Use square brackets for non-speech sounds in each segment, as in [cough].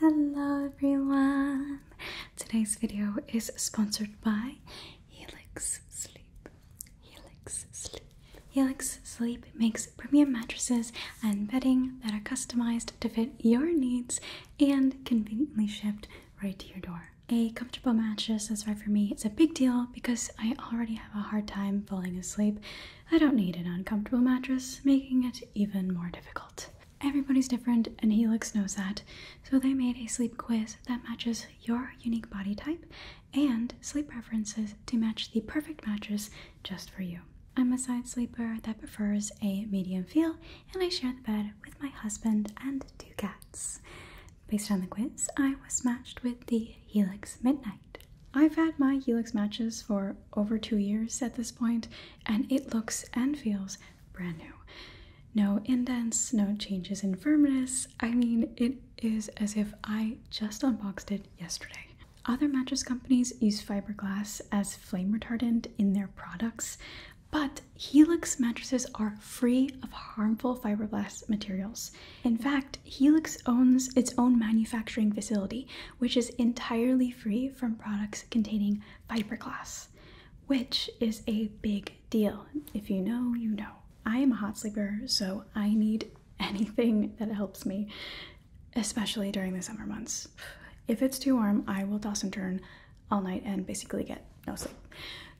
Hello everyone! Today's video is sponsored by Helix Sleep. Helix Sleep. Helix Sleep makes premium mattresses and bedding that are customized to fit your needs and conveniently shipped right to your door. A comfortable mattress, that's right for me, it's a big deal because I already have a hard time falling asleep. I don't need an uncomfortable mattress, making it even more difficult. Everybody's different, and Helix knows that. So they made a sleep quiz that matches your unique body type and sleep preferences to match the perfect mattress just for you. I'm a side sleeper that prefers a medium feel, and I share the bed with my husband and two cats. Based on the quiz, I was matched with the Helix Midnight. I've had my Helix matches for over two years at this point, and it looks and feels brand new. No indents, no changes in firmness. I mean, it is as if I just unboxed it yesterday. Other mattress companies use fiberglass as flame retardant in their products, but Helix mattresses are free of harmful fiberglass materials. In fact, Helix owns its own manufacturing facility, which is entirely free from products products containing fiberglass, which is a big deal. If you know, you know. I am a hot sleeper, so I need [laughs] anything that helps me, especially during the summer months. If it's too warm, I will toss and turn all night and basically get no sleep.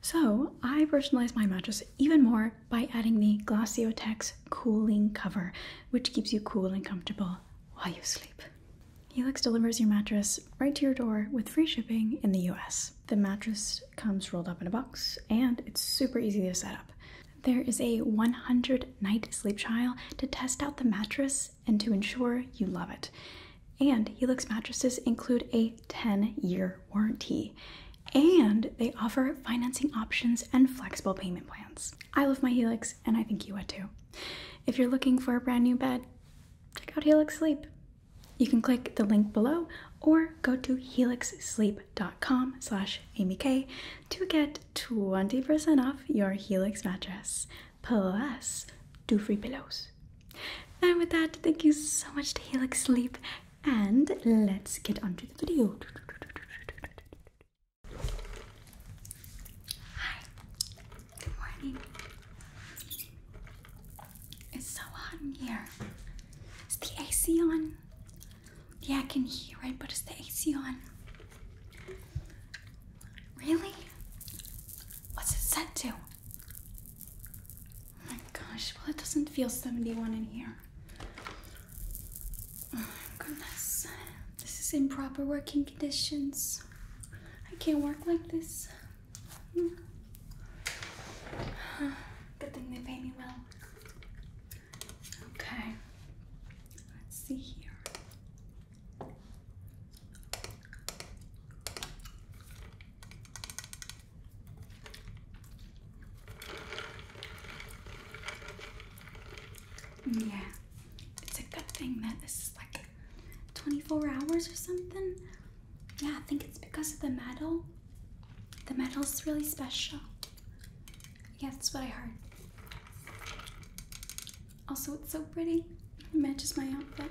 So I personalized my mattress even more by adding the Glaciotex cooling cover, which keeps you cool and comfortable while you sleep. Helix delivers your mattress right to your door with free shipping in the US. The mattress comes rolled up in a box and it's super easy to set up. There is a 100 night sleep trial to test out the mattress and to ensure you love it. And Helix mattresses include a 10 year warranty. And they offer financing options and flexible payment plans. I love my Helix and I think you would too. If you're looking for a brand new bed, check out Helix Sleep. You can click the link below or go to helixsleep.com slash amyk to get 20% off your Helix mattress, plus two free pillows. And with that, thank you so much to Helix Sleep, and let's get on to the video. Hi, Good morning. It's so hot in here. Is the AC on? Yeah, I can hear it, but is the AC on? Really? What's it set to? Oh my gosh, well, it doesn't feel 71 in here. Oh my goodness. This is improper working conditions. I can't work like this. [sighs] Good thing they pay me well. Okay, let's see here. Mm, yeah, it's a good thing that this is like 24 hours or something. Yeah, I think it's because of the metal. The metal's really special. Yeah, that's what I heard. Also, it's so pretty. It matches my outfit.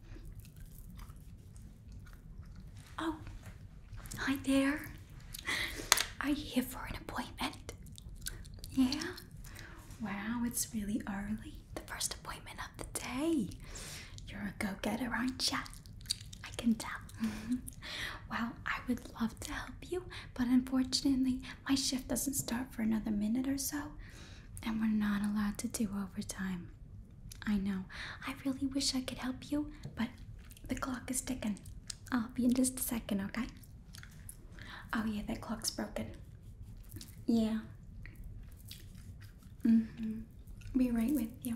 Oh, hi there. Are you here for an appointment? Yeah? Wow, it's really early. The first appointment of the day. You're a go getter, aren't you? I can tell. [laughs] well, I would love to help you, but unfortunately, my shift doesn't start for another minute or so and we're not allowed to do overtime. I know. I really wish I could help you, but the clock is ticking. I'll be in just a second, okay? Oh, yeah, that clock's broken. Yeah. Mm hmm. Be right with you.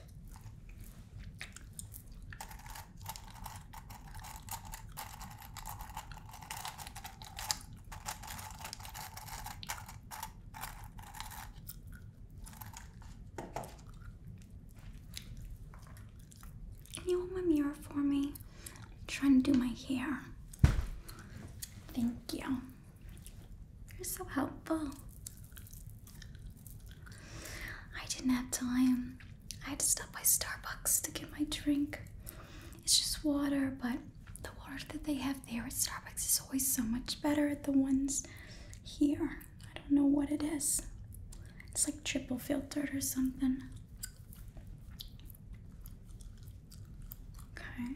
Can you hold my mirror for me? I'm trying to do my hair. Thank you. You're so helpful. I didn't have time. I had to stop by Starbucks to get my drink. It's just water, but the water that they have there at Starbucks is always so much better than the ones here. I don't know what it is. It's like triple filtered or something. Okay.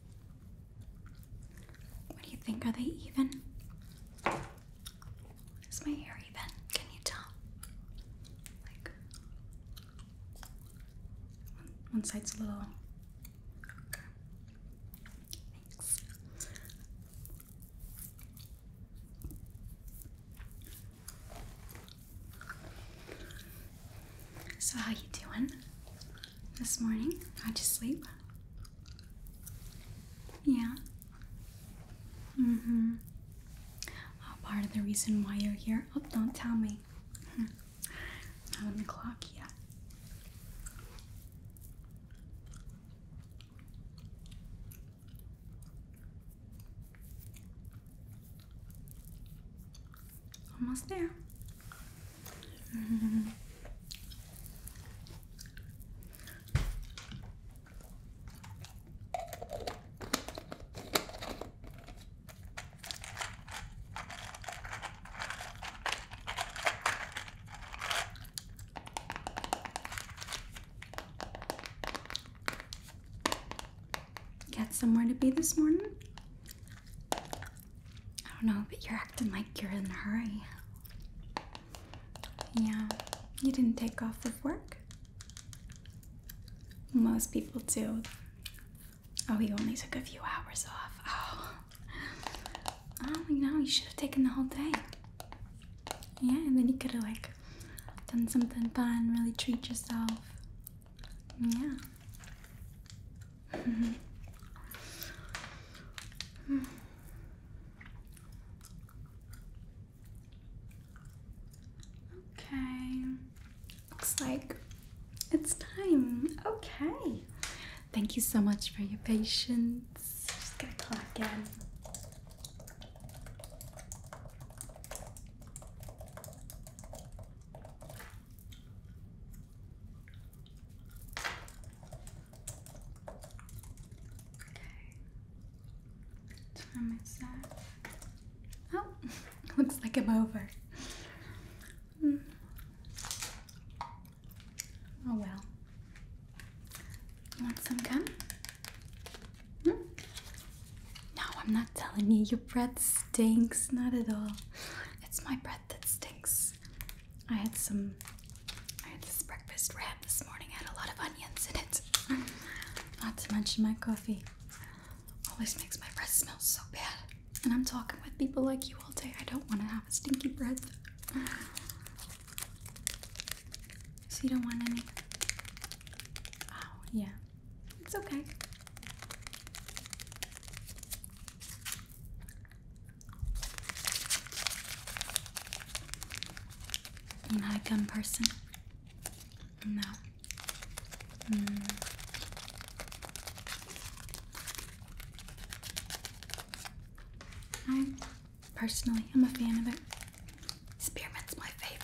What do you think? Are they even? Is my hair even? Can you tell? Like, one, side's a little. Okay. Thanks. So how you doing? this morning? How'd you sleep? Yeah. Mm hmm. part of the reason why you're here. Oh, don't tell me. Hmm. Not on the clock yet. Almost there. Get somewhere to be this morning. I don't know, but you're acting like you're in a hurry. Yeah, you didn't take off of work? Most people do. Oh, you only took a few hours off. Oh, oh you know, you should have taken the whole day. Yeah, and then you could have like done something fun, really treat yourself. Yeah. Mm [laughs] -hmm. Okay, looks like it's time. Okay, thank you so much for your patience. Just get to clock in. Okay. Time is up. Oh, [laughs] looks like I'm over. Hmm. Oh well. You want some gum? Hmm? No, I'm not telling you. Your breath stinks. Not at all. It's my breath that stinks. I had some. I had this breakfast wrap this morning. I had a lot of onions in it. [laughs] Not to mention my coffee. Always makes my breath smell so bad. And I'm talking with people like you all day. I don't want to have a stinky breath. [sighs] So you don't want any? Oh, yeah. It's okay. You're not a gun person? No. Mm. I personally am a fan of it. Spearman's my favorite.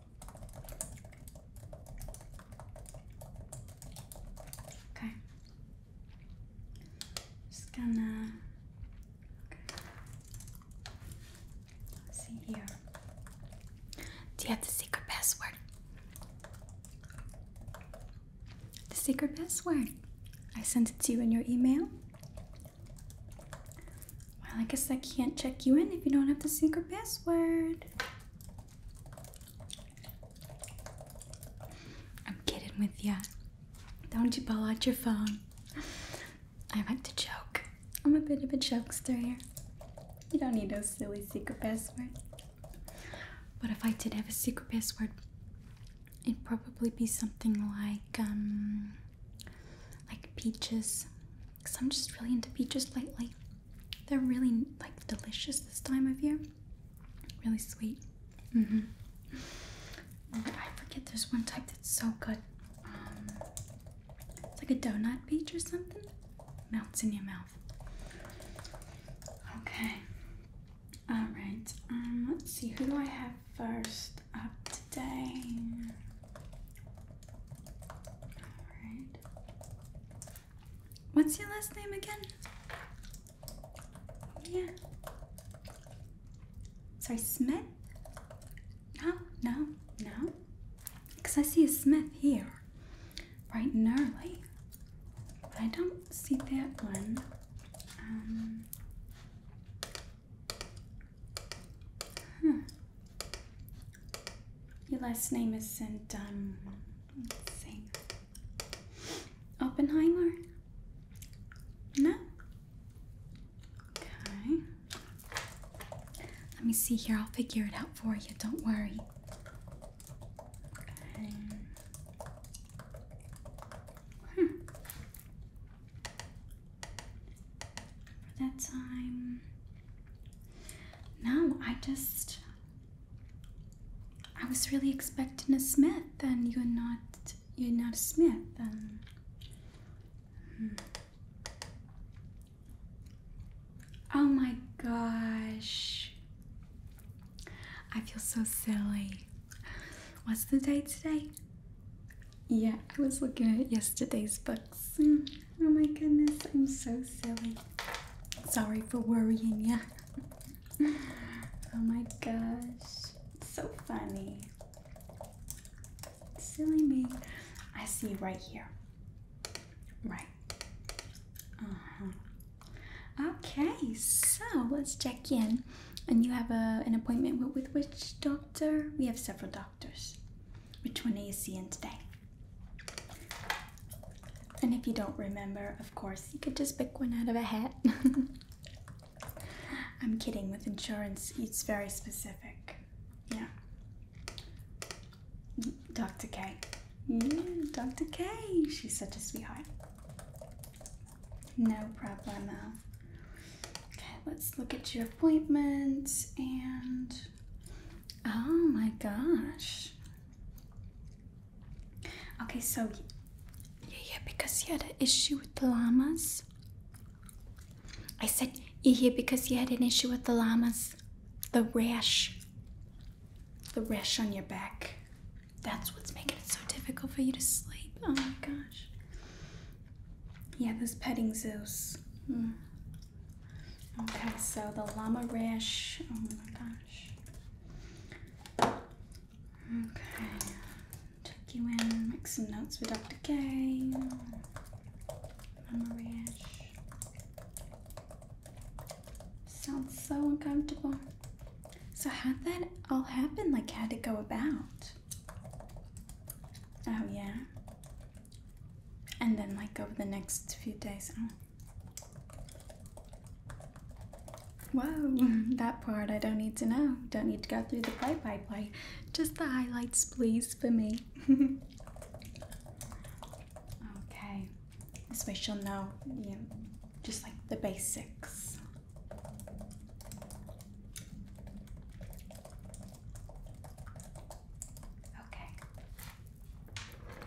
Okay. Just gonna see here. Do you have the secret password? The secret password. I sent it to you in your email. Well, I guess I can't check you in if you don't have the secret password. I'm kidding with ya. Don't you pull out your phone. I like to joke. I'm a bit of a jokester here. You don't need no silly secret password. What if I did have a secret password, it'd probably be something like um like peaches because I'm just really into peaches lately. They're really like delicious this time of year. Really sweet. Mm -hmm. I forget there's one type that's so good. Um, it's like a donut peach or something. Melts in your mouth. Okay. All right. Um, let's see. Who do I have first up today? All right. What's your last name again? Yeah. Sorry, Smith? No, no, no. Because I see a Smith here. right and early. But I don't see that one. Um, your last name isn't, um, let Oppenheimer? No? Okay. Let me see here. I'll figure it out for you. Don't worry. Okay. Hmm. For that time. No, I just I was really expecting a smith, and you're not. You're not a smith, and. Um, hmm. Oh my gosh. I feel so silly. What's the date today? Yeah, I was looking at yesterday's books. Hmm. Oh my goodness, I'm so silly. Sorry for worrying you. oh my gosh, so funny. Silly me. I see right here. Right. Uh-huh. Okay, so let's check in. And you have a, an appointment with, with which doctor? We have several doctors. Which one are you seeing today? And if you don't remember, of course, you could just pick one out of a hat. [laughs] I'm kidding, with insurance, it's very specific. Yeah. Dr. K. Mm, Dr. K. She's such a sweetheart. No problemo. Okay, let's look at your appointment and. Oh my gosh. Okay, so yeah, yeah, because you had an issue with the llamas. I said "You hear because you had an issue with the llamas. The rash. The rash on your back. That's what's making it so difficult for you to sleep. Oh my gosh. Yeah, those petting zoos. Mm. Okay, so the llama rash. Oh my gosh. Okay, tuck you in, make some notes for Dr. K. Llama rash. Sounds so uncomfortable. So how'd that all happen? Like how did it go about? Oh yeah. And then like over the next few days. Oh. Wow, [laughs] that part I don't need to know. Don't need to go through the play by play. Just the highlights, please, for me. [laughs] okay, this way she'll know, yeah, just like the basics. Okay.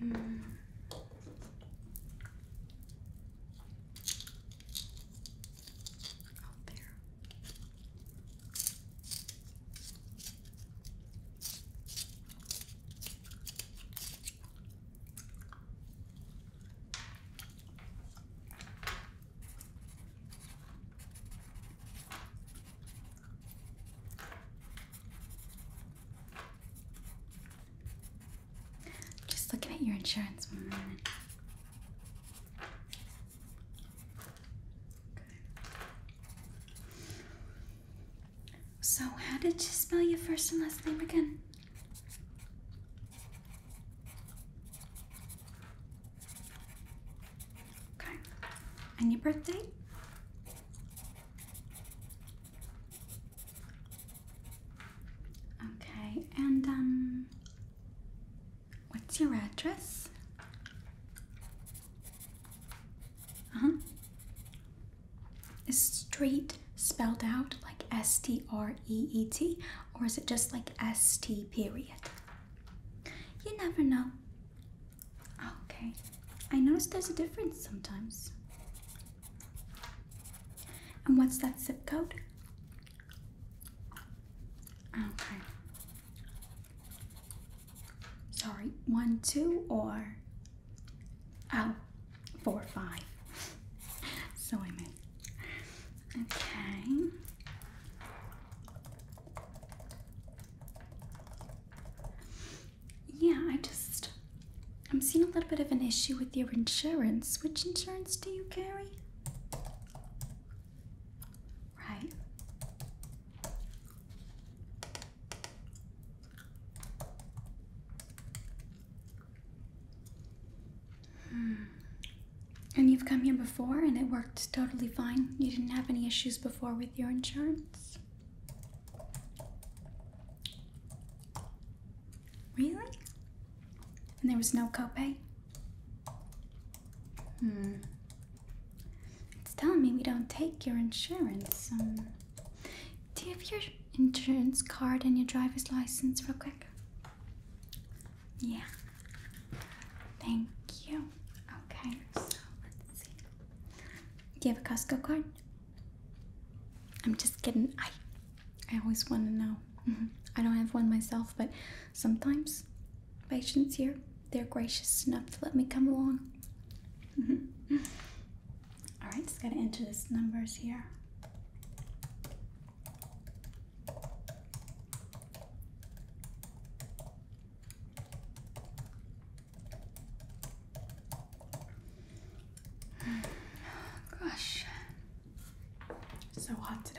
Mm. Out there. Just looking at your insurance one minute. So, how did you spell your first and last name again? Okay. And your birthday? Okay, and um what's your address? Uh-huh. Is street spelled out like S T R E E T or is it just like ST period. You never know. Okay, I notice there's a difference sometimes. And what's that zip code? Okay. Sorry, one, two, or oh, four, five. [laughs] so I meant. Okay. Yeah, I just. I'm seeing a little bit of an issue with your insurance. Which insurance do you carry? Right. Hmm. And you've come here before and it worked totally fine. You didn't have any issues before with your insurance? Really? And there was no copay? Hmm. It's telling me we don't take your insurance. Um, do you have your insurance card and your driver's license, real quick? Yeah. Thank you. Okay, so let's see. Do you have a Costco card? I'm just kidding. I I always want to know. Mm-hmm. I don't have one myself, but sometimes patients here, they're gracious enough to let me come along. Mm -hmm. All right, just gotta enter this numbers here. [sighs] Gosh, so hot today.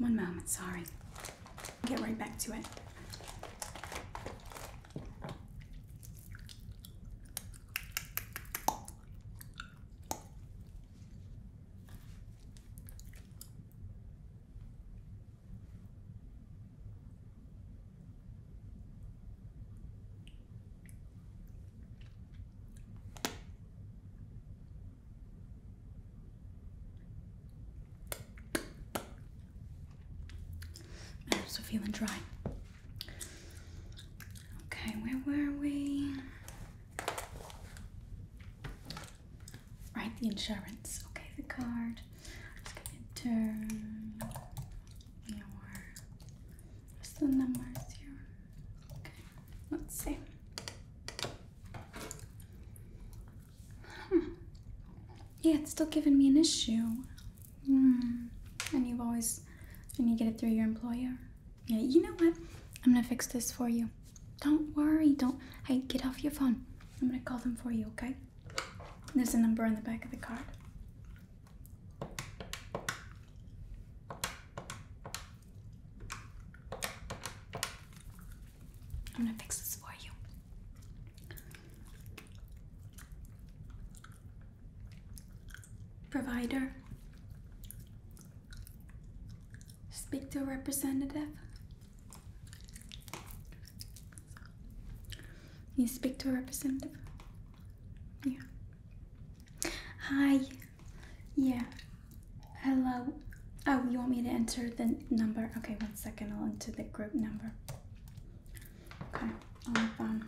One moment, sorry. Get right back to it. I'm also feeling dry. Okay, where were we? Right, the insurance. Okay, the card. Let's get it turn. Your what's the numbers here? Okay, let's see. Hmm. Yeah, it's still giving me an issue. Hmm. And you've always, and you get it through your employer. Yeah, you know what? I'm gonna fix this for you. Don't worry. Don't. Hey, get off your phone. I'm gonna call them for you. Okay? There's a number on the back of the card. I'm gonna fix this for you. Provider, speak to a representative. You speak to a representative. Yeah. Hi. Yeah. Hello. Oh, you want me to enter the number? Okay, one second. I'll enter the group number. Okay, on the phone.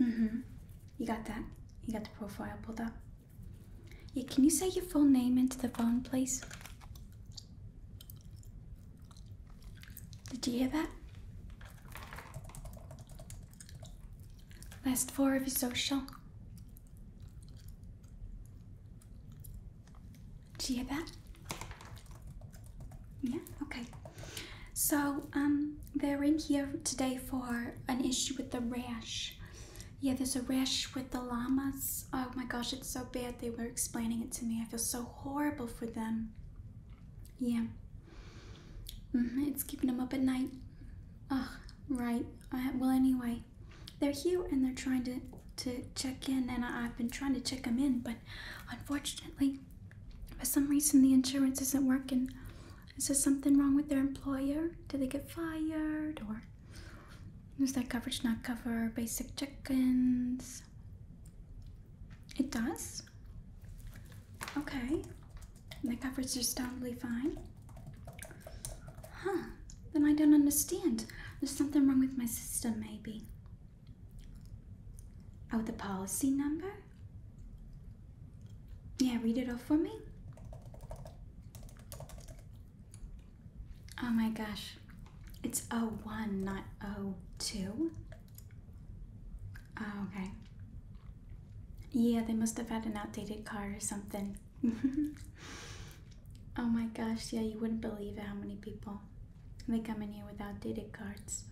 Mm-hmm. You got that? You got the profile pulled up? Yeah, can you say your full name into the phone, please? Did you hear that? Last four of your social. Did you hear that? Yeah, okay. So, um, they're in here today for an issue with the rash. Yeah, there's a rash with the llamas. Oh my gosh, it's so bad. They were explaining it to me. I feel so horrible for them. Yeah. Mm-hmm, it's keeping them up at night. Ugh, right. well, anyway, they're here and they're trying to to check in, and I, have been trying to check them in, but unfortunately, for some reason, the insurance isn't working. Is there something wrong with their employer? Did they get fired, or is that coverage not cover basic check-ins? It does? Okay. my coverage is totally fine. Huh. Then I don't understand. There's something wrong with my system, maybe. Oh, the policy number? Yeah, read it off for me. Oh my gosh. It's 01, not 02. okay. Yeah, they must have had an outdated card or something. [laughs] oh my gosh, yeah, you wouldn't believe it how many people they come in here with outdated cards.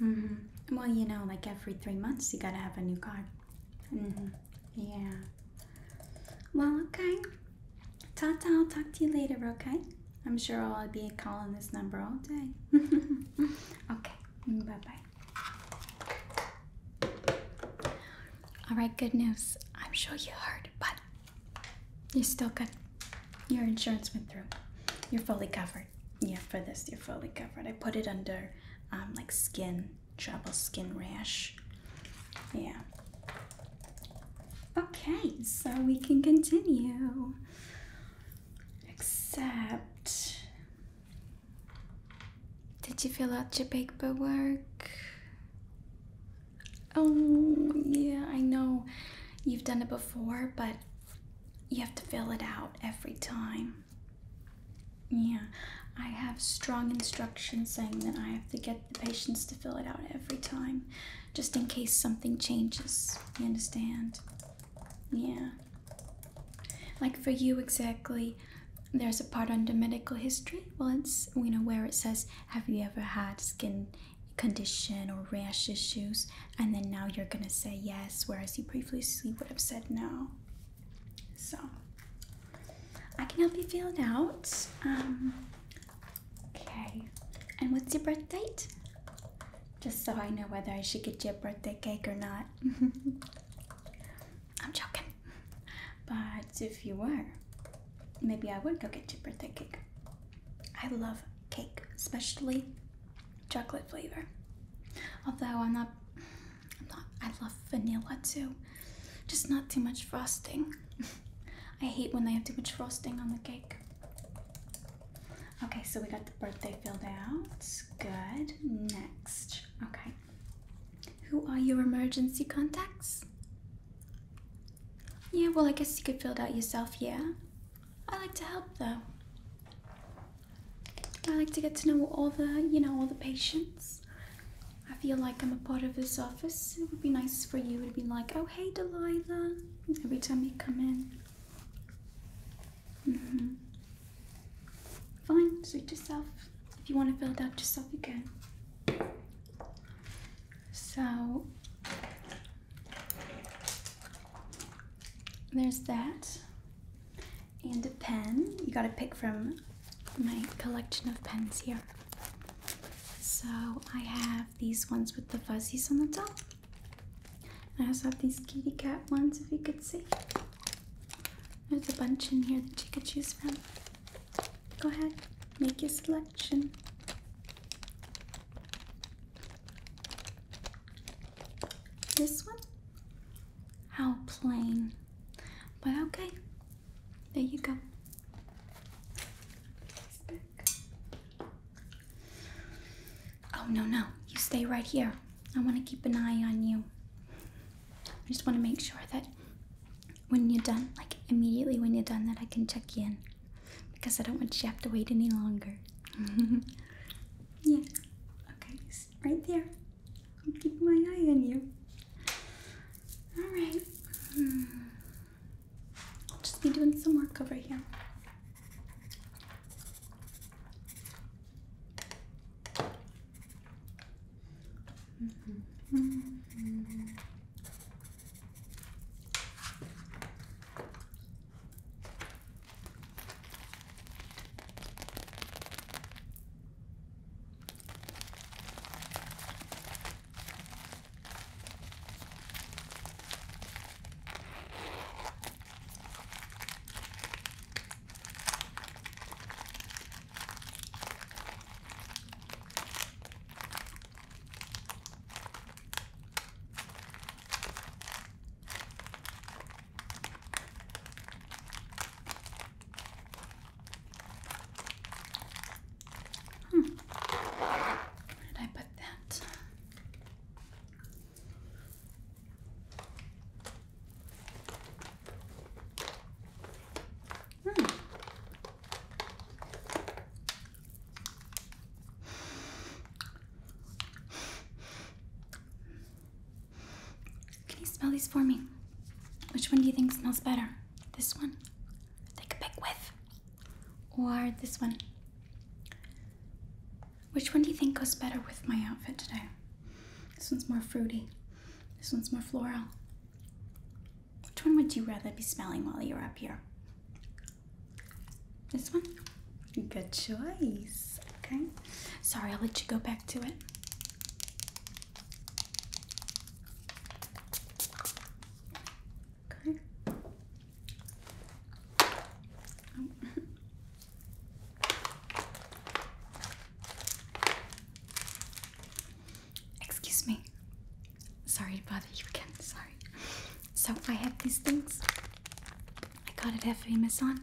-hmm. Well, you know, like every three months, you gotta have a new card. -hmm. Yeah. Well, okay. Ta ta, I'll talk to you later, okay? I'm sure I'll be calling this number all day. [laughs] okay, bye bye. Alright, good news. I'm sure you heard, but you're still good. Your insurance went through. You're fully covered. Yeah, for this, you're fully covered. I put it under um, like skin trouble, skin rash. Yeah, Okay, so we can continue. Except. Did you fill out your paperwork? Oh, yeah, I know you've done it before, but you have to fill it out every time. Yeah, I have strong instructions saying that I have to get the patients to fill it out every time just in case something changes. You understand? Yeah. Like for you exactly, there's a part under medical history. Well, it's you know where it says, "Have you ever had skin condition or rash issues?" And then now you're gonna say yes, whereas you previously would have said no. So I can help you fill it out. Um, Okay. And what's your birth date? Just so I know whether I should get you a birthday cake or not. [laughs] I'm joking. But if you were, maybe I would go get you a birthday cake. I love cake, especially chocolate flavor. Although i I'm not I love vanilla too. Just not too much frosting. [laughs] I hate when they have too much frosting on the cake. Okay, so we got the birthday filled out. Good. Next. Okay. Who are your emergency contacts? Yeah, well, I guess you could fill it out yourself, yeah? I like to help, though. I like to get to know all the, you know, all the patients. I feel like I'm a part of this office. It would be nice for you to be like, oh, hey, Delilah every time you come in. Mm-hmm. Fine, suit yourself. If you want to fill it out yourself, you can. So, there's that. And a pen. You got to pick from my collection of pens here. So, I have these ones with the fuzzies on the top. I also have these kitty cat ones, if you could see. There's a bunch in here that you could choose from. Go ahead, make your selection. This one? How plain. But okay, there you go. Oh, no, no. You stay right here. I want to keep an eye on you. I just want to make sure that when you're done, like immediately when you're done, that I can check you in. Because I don't want you to have to wait any longer. [laughs] yeah. Okay, right there. I'm keeping my eye on you. All right. Hmm. I'll just be doing some work over here. Mm-hmm. Hmm. Where did I put that? Hmm. Can you smell these for me? Which one do you think smells better? This one? Take a big whiff or this one? Which one do you think goes better with my outfit today? This one's more fruity. This one's more floral. Which one would you rather be smelling while you're up here? This one? Good choice. Okay. Sorry, I'll let you go back to it. Okay. Oh. Excuse me. Sorry to bother you again. Sorry. So I have these things. I got it at Amazon.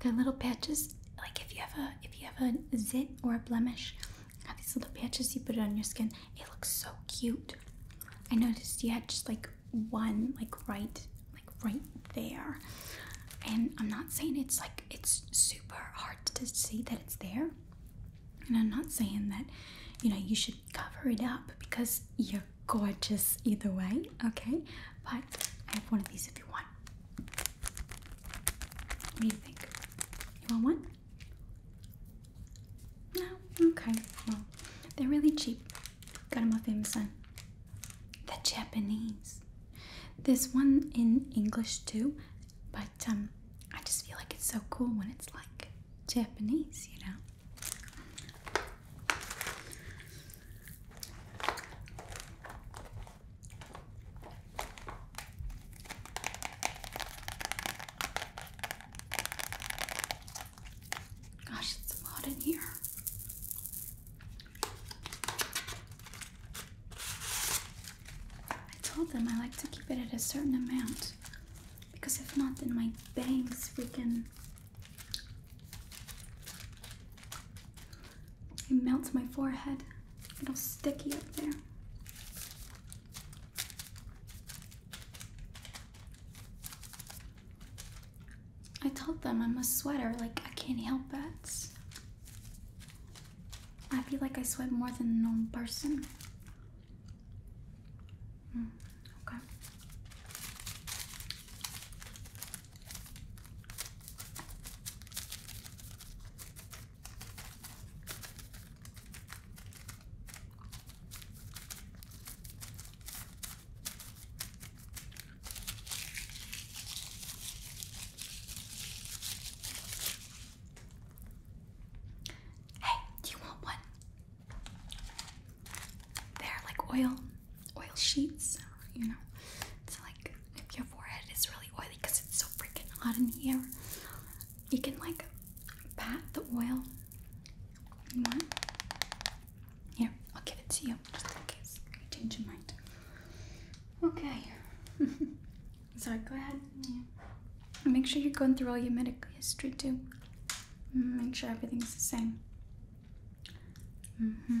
They're little patches. Like if you have a if you have a zit or a blemish, have these little patches. You put it on your skin. It looks so cute. I noticed you had just like one like right like right there and I'm not saying it's like it's super hard to see that it's there and I'm not saying that you know you should cover it up because you're gorgeous either way okay but I have one of these if you want what do you think you want one no? Okay. Well, they're really cheap. Got them off Amazon. The Japanese. This one in English too, but um, I just feel like it's so cool when it's like Japanese, you know? Gosh, it's hot in here. I told them I like to keep it at a certain amount because if not, then my bangs weaken. It melts my forehead. It's all sticky up there. I told them I'm a sweater, like, I can't help it. I feel like I sweat more than a normal person. Hmm, okay. Hey, do you want one? They're like oil, oil sheets, you know. It's like if your forehead is really oily because it's so freaking hot in here, you can like pat the oil you want? Yeah, I'll give it to you just in case you change your mind. Okay. [laughs] Sorry, go ahead. Make sure you're going through all your medical history too. Mm, make sure everything's the same. Mm hmm.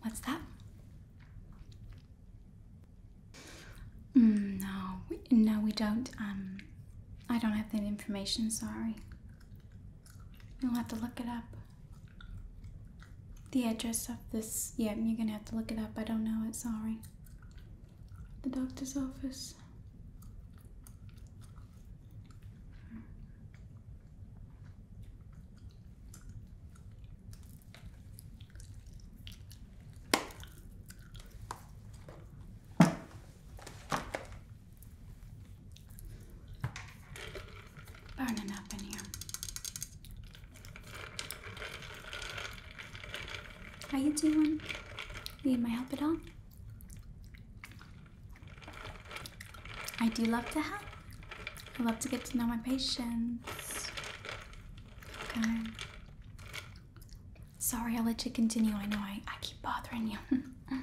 What's that? Mm, no, we, no, we don't. Um, I don't have that information. Sorry. You'll have to look it up. The address of this, yeah, you're gonna have to look it up. I don't know it, sorry. The doctor's office. Burning up in here. How you doing? Need my help at all? I do love to help. I love to get to know my patients. Okay. Sorry, i let you continue. I know I, I keep bothering you. [laughs]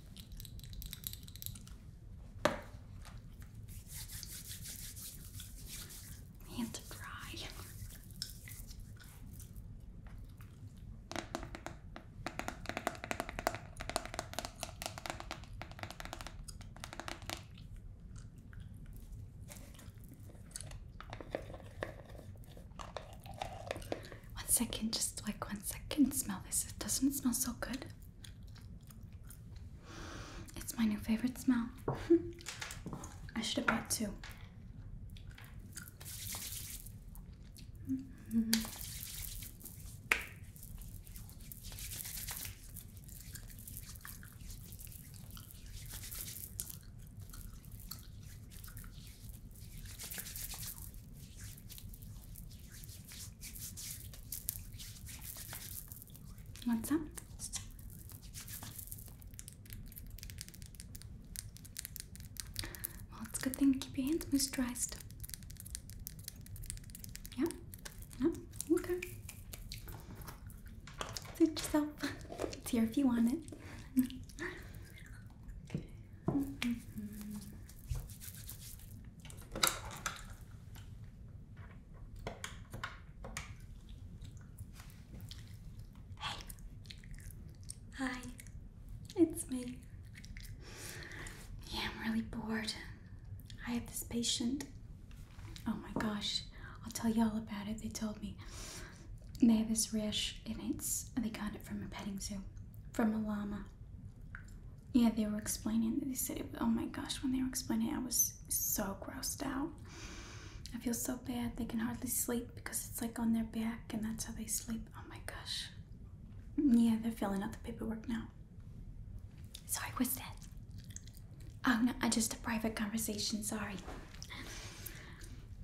Hands are dry. One second, just like one second. Smell this. It doesn't smell so good. It's my new favorite smell. [laughs] I should have bought two. What's up? Well, it's a good thing to keep your hands moisturized. Yeah? No? Okay. Suit yourself. [laughs] It's here if you want it. [laughs] Hey, hi, it's me. Yeah, I'm really bored. I have this patient. Oh my gosh, I'll tell y'all about it. They told me they have this rash, and it's they got it from a petting zoo, from a llama yeah, they were explaining. They said, "Oh my gosh!" When they were explaining, I was so grossed out. I feel so bad. They can hardly sleep because it's like on their back, and that's how they sleep. Oh my gosh. Yeah, they're filling out the paperwork now. Sorry, what's that? Oh no, I just a private conversation. Sorry.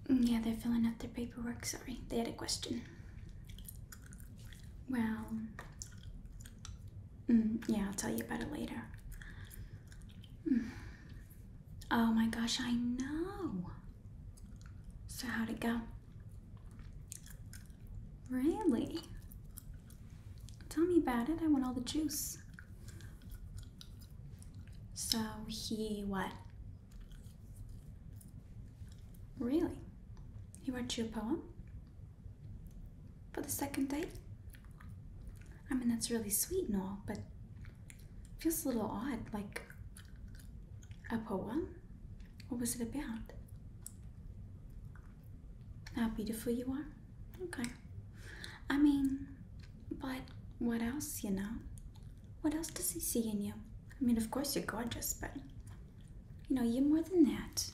Yeah, they're filling out their paperwork. Sorry, they had a question. Well, mm, yeah, I'll tell you about it later. Mm. Oh my gosh, I know. So, how'd it go? Really? Tell me about it. I want all the juice. So, he what? Really? He wrote you a poem? For the second date? I mean, that's really sweet and all, but feels a little odd, like a poem? What was it about? How beautiful you are? Okay. I mean, but what else, you know? What else does he see in you? I mean, of course you're gorgeous, but you know, you're more than that.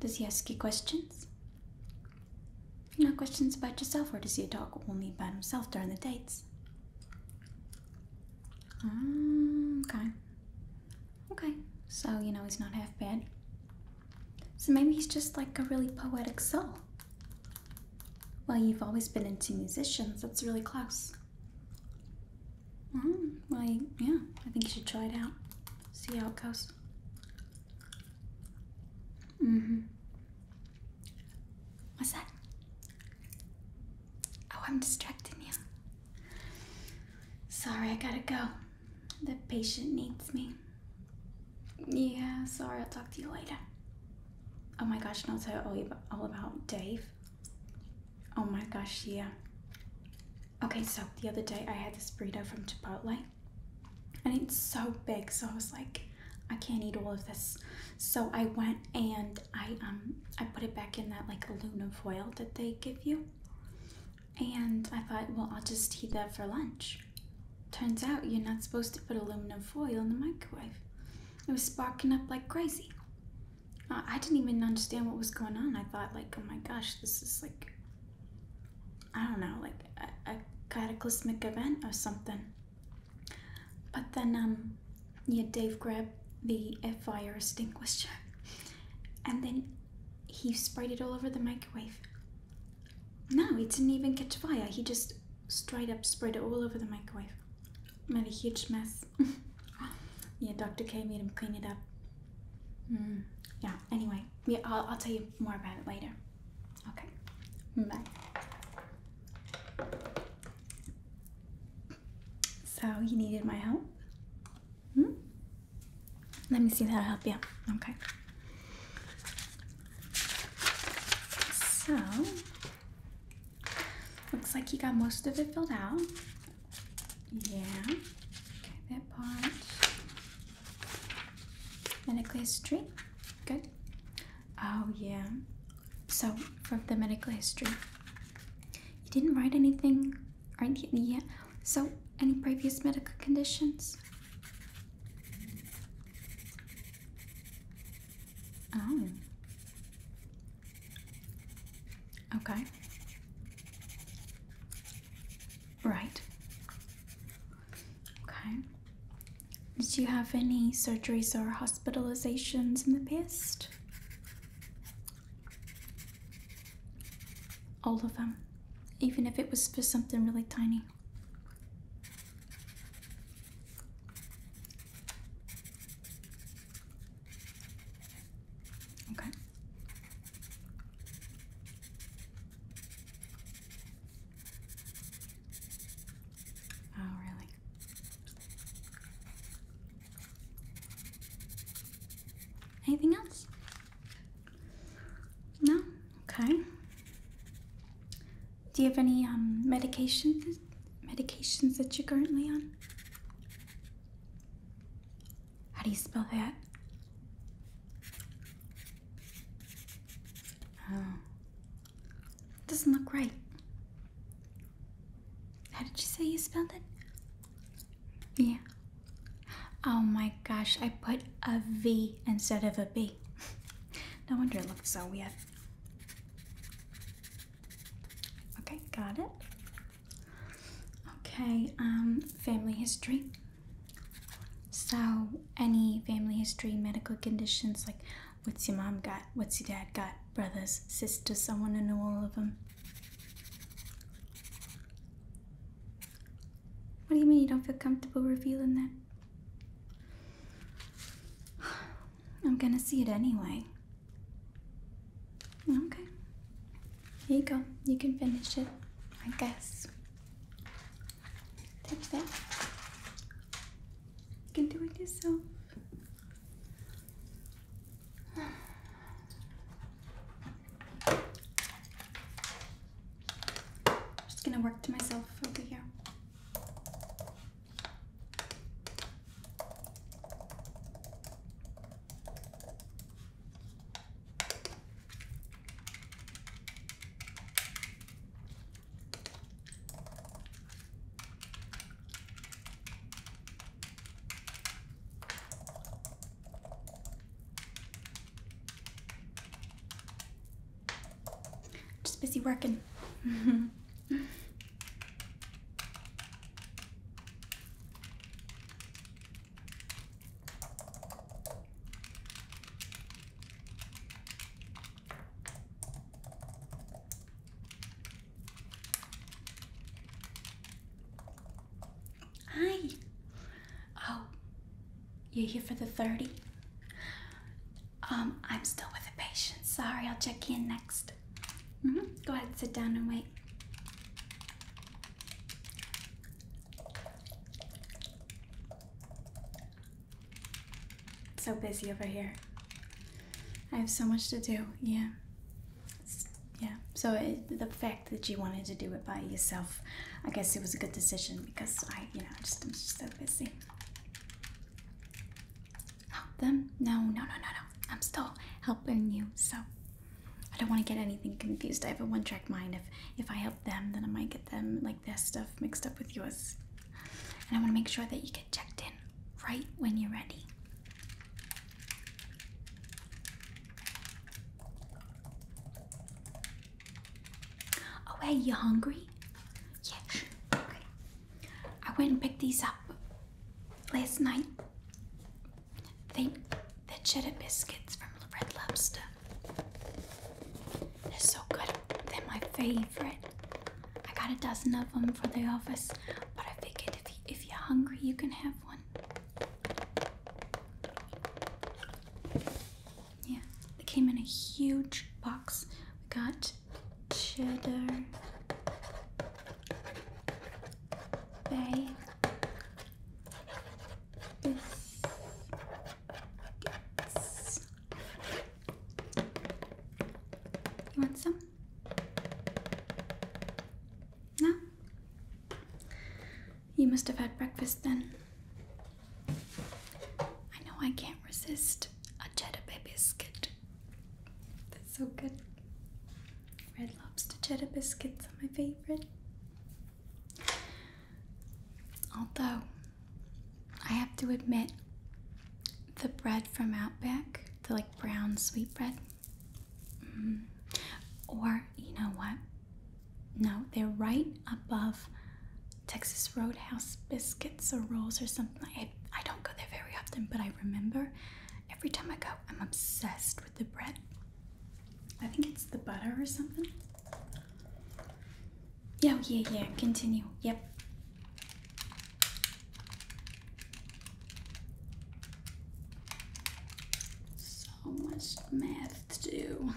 Does he ask you questions? You questions about yourself, or does he talk only about himself during the dates? Mm, okay. Okay. So, you know, he's not half bad. So maybe he's just like a really poetic soul. Well, you've always been into musicians. That's really close. Mm, mm-hmm. like, yeah, I think you should try it out. See how it goes. hmm. What's that? Oh, I'm distracting you. Sorry, I gotta go. The patient needs me. Yeah, sorry, I'll talk to you later. Oh my gosh, and I'll tell you all about Dave. Oh my gosh, yeah. Okay, so the other day I had this burrito from Chipotle and it's so big, so I was like, I can't eat all of this. So I went and I um I put it back in that like aluminum foil that they give you. And I thought, well, I'll just heat that for lunch. Turns out you're not supposed to put aluminum foil in the microwave. It was sparking up like crazy. I didn't even understand what was going on. I thought, like, oh my gosh, this is like, I don't know, like a, cataclysmic event or something. But then, um, yeah, Dave grabbed the fire extinguisher and then he sprayed it all over the microwave. No, he didn't even catch fire. He just sprayed up sprayed it all over the microwave made a huge mess. [laughs] yeah, Dr. K made him clean it up. Mm, yeah, anyway, yeah, I'll, I'll tell you more about it later. Okay, bye. So, you needed my help? Hmm? Let me see that i help you. Okay. So, looks like you got most of it filled out. Yeah, okay, that part. Medical history, good. Oh, yeah. So, from the medical history, you didn't write anything, right? Yeah. So, any previous medical conditions? Oh, Okay. Right. Okay. Did you have any surgeries or hospitalizations in the past? All of them, even if it was for something really tiny. Okay. Oh, really? Anything else? No? Okay. Do you have any um, medications, medications that you're currently on? How do you spell that? Oh. Doesn't look right. How did you say you spelled it? Yeah. Oh my gosh, I put a V instead of a B. [laughs] no wonder it looks so weird. Okay, got it. Okay, um, family history. So, any family history, medical conditions, like what's your mom got, what's your dad got, brothers, sisters, I want to know all of them. What do you mean you don't feel comfortable revealing that? [sighs] I'm gonna see it anyway. Okay. Here you go. You can finish it, I guess. Take that. You can do it yourself. just gonna work to myself over here. Just busy working. [laughs] Hi. Oh, you're here for the 30? Um, I'm still with a patient. Sorry, I'll check in next. Mm -hmm. Go ahead, sit down and wait. So busy over here. I have so much to do. Yeah. yeah. So the fact that you wanted to do it by yourself, I guess it was a good decision because I, you know, just I'm just so busy. Help them? No, no, no, no, no. I'm still helping you. So I don't want to get anything confused. I have a one-track mind. If if I help them, then I might get them like their stuff mixed up with yours. And I want to make sure that you get checked in right when you're ready. Oh hey, you hungry? Yeah. Okay. I went and picked these up last night Think the cheddar biscuits from Red Lobster. They're so good. They're my favorite. I got a dozen of them for the office, but I figured if, you, if you're hungry, you can have one. Yeah, they came in a huge box. We got cheddar, bay, Biscuits. You want some? No? You must have had breakfast then. I know I can't resist a Jetta baby biscuit. That's so good. Red lobster cheddar biscuits are my favorite. Although, I have to admit, the bread from Outback, the like brown sweet bread, mm, or you know what? No, they're right above Texas Roadhouse biscuits or rolls or something. I, I don't go there very often, but I remember every time I go, I'm obsessed the bread. I think it's the butter or something. Yeah, yeah, yeah. Continue. Yep. So much math to do.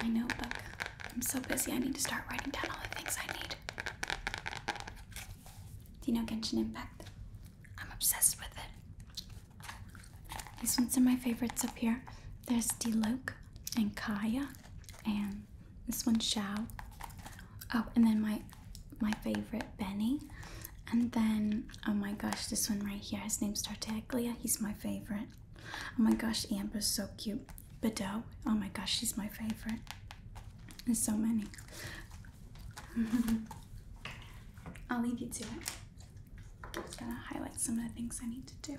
I know, I'm so busy, I need to start writing down all the things I need. Do you know Genshin Impact? I'm obsessed with it. These ones are my favorites up here. There's Diloke and Kaya, and this one Shao. Oh, and then my my favorite Benny. And then, oh my gosh, this one right here. His name's Tartaglia. He's my favorite. Oh my gosh, Amber's so cute. Bedeau. Oh my gosh, she's my favorite. There's so many. [laughs] I'll leave you to it. I'm just gonna highlight some of the things I need to do.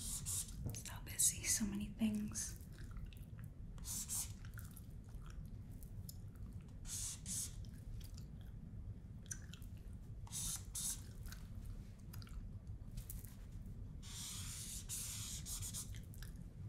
So busy, so many things.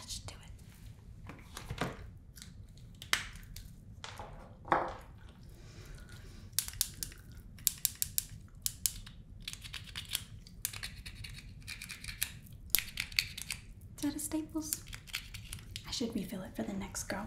That should do it. out of staples. I should refill it for the next girl.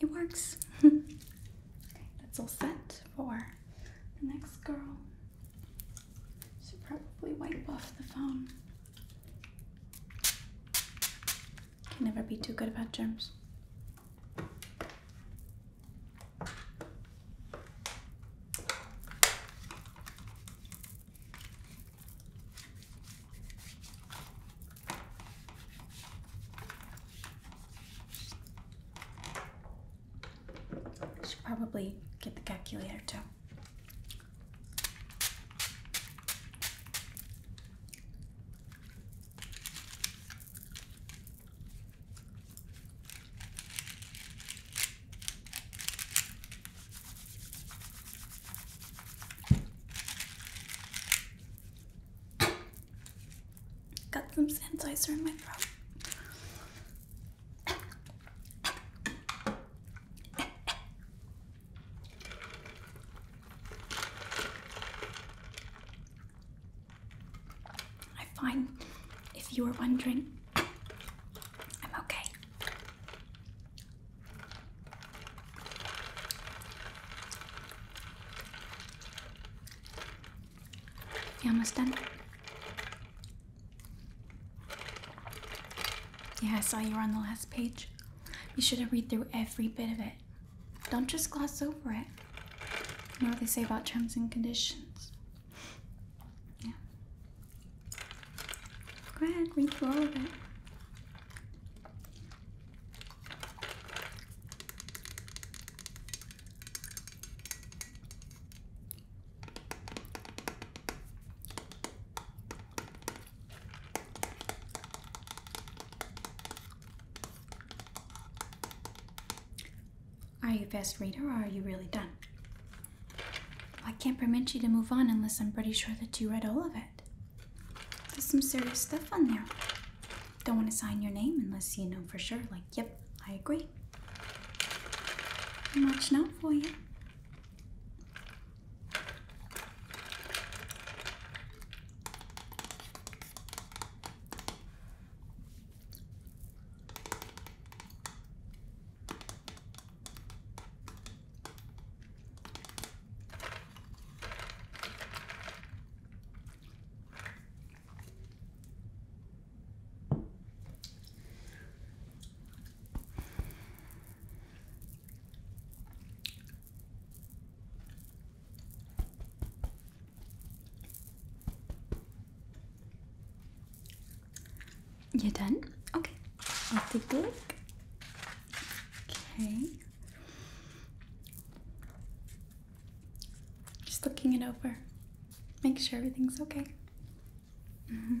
It works. okay, [laughs] that's all set for the next girl. She probably wipe off the phone. Can never be too good about germs. Should probably get the calculator too. Got some sanitizer in my throat. I'm fine. If you were wondering, I'm okay. You almost done? Yeah, I saw you were on the last page. You should have read through every bit of it. Don't just gloss over it. You know what they say about terms and conditions. Yeah. Go ahead, read through all of it. Are you a fast reader or are you really done? I can't permit you to move on unless I'm pretty sure that you read all of it. There's some serious stuff on there. Don't want to sign your name unless you know for sure. Like, yep, I agree. I'm out for you. You're done? Okay, I'll take a Okay. Just looking it over. Make sure everything's okay. Mm -hmm.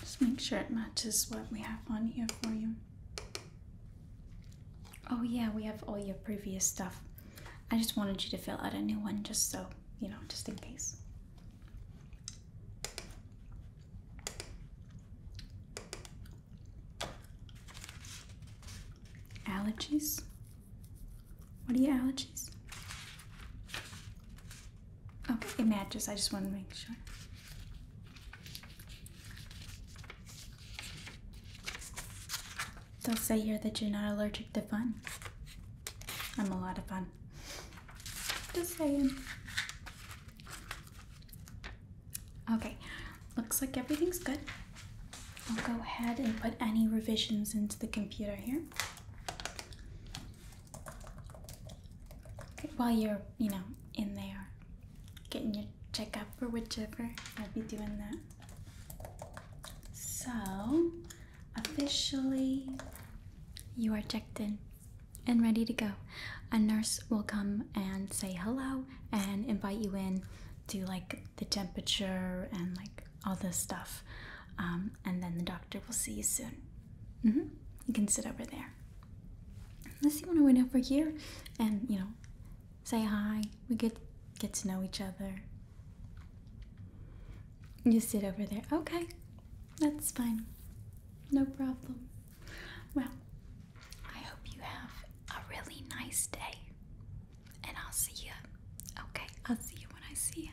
Just make sure it matches what we have on here for you. Oh, yeah, we have all your previous stuff. I just wanted you to fill out a new one just so, you know, just in case. Allergies? What are your allergies? Okay, it matches. I just want to make sure. They'll say here that you're not allergic to fun. I'm a lot of fun. Just saying. Okay, looks like everything's good. I'll go ahead and put any revisions into the computer here while you're, you know, in there getting your checkup or whichever, I'll be doing that. So, officially, you are checked in and ready to go. A nurse will come and say hello and invite you in, do like the temperature and like all this stuff. Um, and then the doctor will see you soon. Mm-hmm. You can sit over there. Let's see when to wait over here and you know say hi we get get to know each other you sit over there okay that's fine no problem well i hope you have a really nice day and i'll see you okay i'll see you when i see you